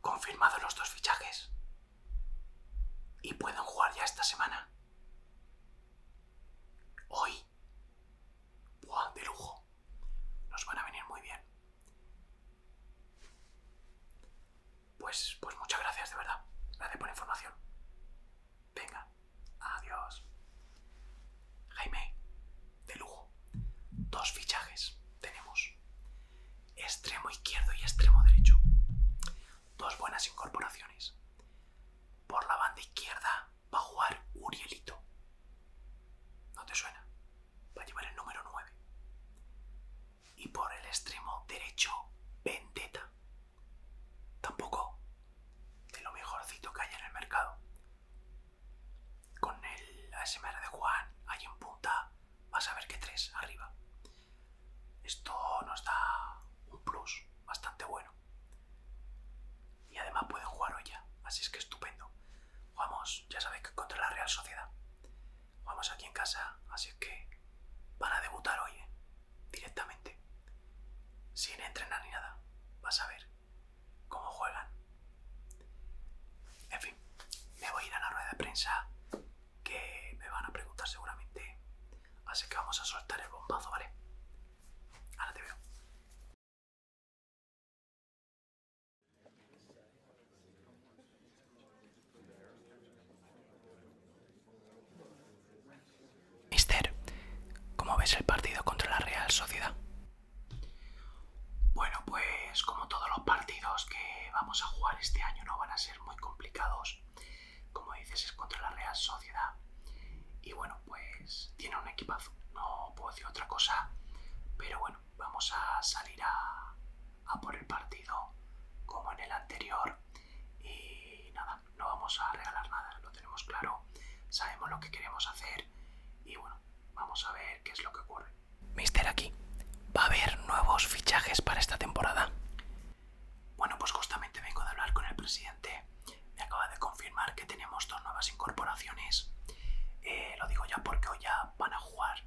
Confirmados los dos fichajes. Y pueden jugar ya esta semana. Hoy. Buah, de lujo. Nos van a venir muy bien. Pues, pues muchas gracias, de verdad. Gracias por la información. Venga, adiós. Jaime, de lujo. Dos fichajes tenemos. Extremo izquierdo y extremo derecho. Dos buenas incorporaciones. Por la banda izquierda va a jugar Urielito. ¿No te suena? Va a llevar el número 9. Y por el extremo derecho, Vendetta tampoco de lo mejorcito que hay en el mercado. Con el ASMR de Juan ahí en punta vas a ver que tres arriba. Esto nos da un plus bastante bueno. Y además pueden jugar hoy ya, así es que estupendo. Vamos, ya sabéis que contra la Real Sociedad. Vamos aquí en casa, así es que van a debutar hoy, ¿eh? directamente. Sin entrenar ni nada. Vas a ver cómo juegan. En fin, me voy a ir a la rueda de prensa que me van a preguntar seguramente. Así que vamos a soltar el bombazo, ¿vale? Ahora te veo. Mister, ¿cómo ves el partido contra la Real Sociedad? Bueno, pues como todos los partidos que vamos a jugar este año no van a ser muy complicados. Como dices, es contra la Real Sociedad. Y bueno, pues tiene un equipazo. No puedo decir otra cosa. Pero bueno, vamos a salir a, a por el partido como en el anterior. Y nada, no vamos a regalar nada, lo tenemos claro, sabemos lo que queremos hacer y bueno, vamos a ver qué es lo que ocurre. Mister aquí, ¿va a haber nuevos fichajes para esta temporada? Bueno, pues justamente vengo de hablar con el presidente. Me acaba de confirmar que tenemos dos nuevas incorporaciones. Eh, lo digo ya porque hoy ya van a jugar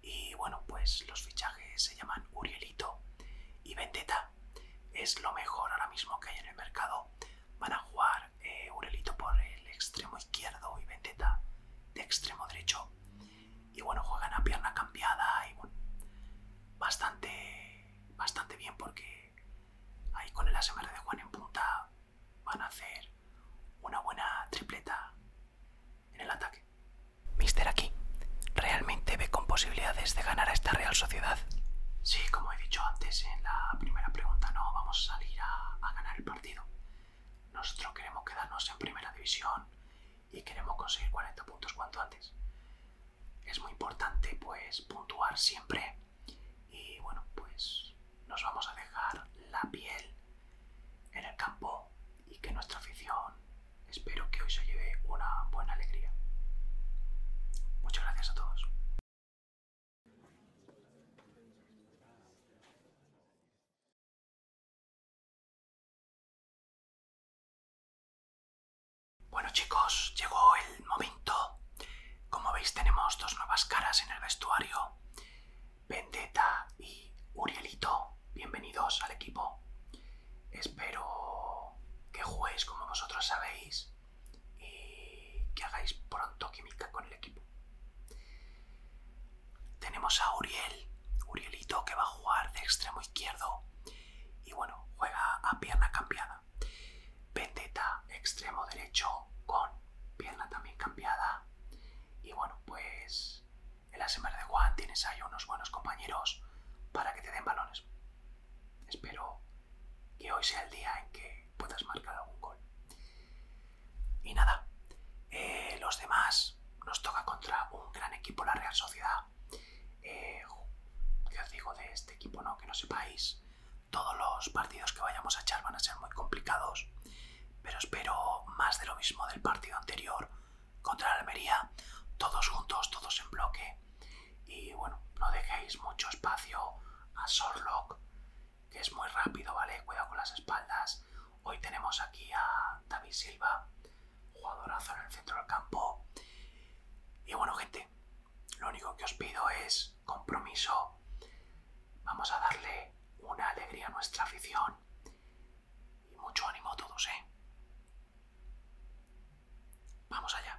y bueno, pues los fichajes se llaman Urielito y Vendetta. Es lo mejor ahora mismo que hay en el mercado. Van a jugar eh, Urielito por el extremo izquierdo y Vendetta de extremo derecho. Y bueno, juegan a pierna cambiada y bueno, bastante, bastante bien porque ahí con el ASMR de Juan en punta van a hacer una buena tripleta en el ataque. Mister aquí, ¿realmente ve con posibilidades de ganar a esta Real Sociedad? Sí, como he dicho antes en la primera pregunta, no vamos a salir a, ganar el partido. Nosotros queremos quedarnos en primera división y queremos conseguir 40 puntos cuanto antes. Es muy importante pues puntuar siempre y bueno, pues nos vamos a dejar la piel en el campo y que nuestra afición espero que hoy se lleve una buena alegría. Muchas gracias a todos. Bueno chicos, llegó el momento. Como veis tenemos dos nuevas caras en el vestuario. Vendetta y Urielito, bienvenidos al equipo. Espero que jueguéis como vosotros sabéis y que hagáis pronto química con el equipo. Tenemos a Uriel, Urielito que va a jugar de extremo izquierdo y bueno, juega a pierna cambiada. Vendetta, extremo derecho con pierna también cambiada. Y bueno, pues en las de Juan tienes ahí unos buenos compañeros para que te den balones. Espero que hoy sea el día en que puedas marcar algún gol. Y nada, eh, los demás nos toca contra un gran equipo, la Real Sociedad. Eh, ¿Qué os digo de este equipo? No, que no sepáis. Todos los partidos que vayamos a echar van a ser muy complicados, pero espero más de lo mismo del partido anterior contra la Almería, todos juntos, todos en bloque. Y bueno, no dejéis mucho espacio a Sorlock, que es muy rápido, ¿vale? Cuidado con las espaldas. Hoy tenemos aquí a David Silva, jugadorazo en el centro del campo. Y bueno, gente, lo único que os pido es compromiso. Vamos a darle una alegría a nuestra afición mucho ánimo a todos, ¿eh? Vamos allá.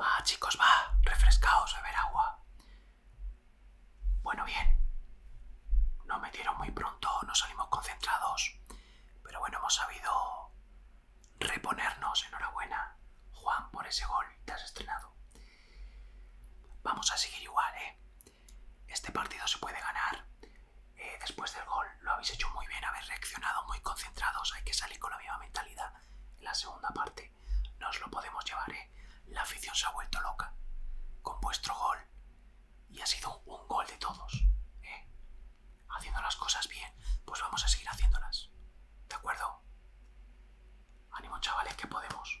Va, chicos, va, refrescaos, beber agua. Bueno, bien. No metieron muy pronto, nos salimos concentrados. Pero bueno, hemos sabido reponernos. Enhorabuena, Juan, por ese gol. Te has estrenado. Vamos a seguir igual, ¿eh? Este partido se puede ganar. Eh, después del gol lo habéis hecho muy bien, habéis reaccionado muy concentrados. Hay que salir con la misma mentalidad. la segunda parte nos lo podemos llevar. Eh. La afición se ha vuelto loca con vuestro gol y ha sido un gol de todos. Eh. Haciendo las cosas bien, pues vamos a seguir haciéndolas. ¿De acuerdo? Ánimo chavales que podemos.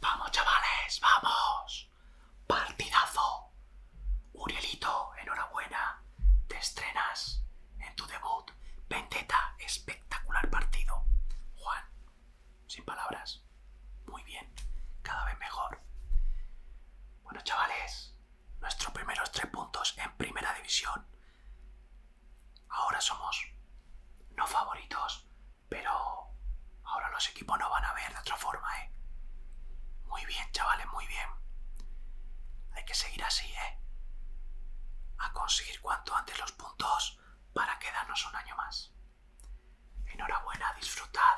¡Vamos, chavales! ¡Vamos! ¡Partidazo! Urielito, enhorabuena. Te estrenas en tu debut Vendetta, espectacular partido. Juan, sin palabras. Muy bien, cada vez mejor. Bueno, chavales, nuestros primeros tres puntos en primera división. Ahora somos no favoritos, pero ahora los equipos no van a ver de otra forma, ¿eh? Muy bien, chavales, muy bien. Hay que seguir así, ¿eh? A conseguir cuanto antes los puntos para quedarnos un año más. Enhorabuena, disfrutad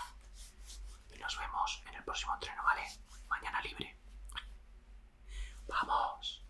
y nos vemos en el próximo entreno, ¿vale? Mañana libre. ¡Vamos!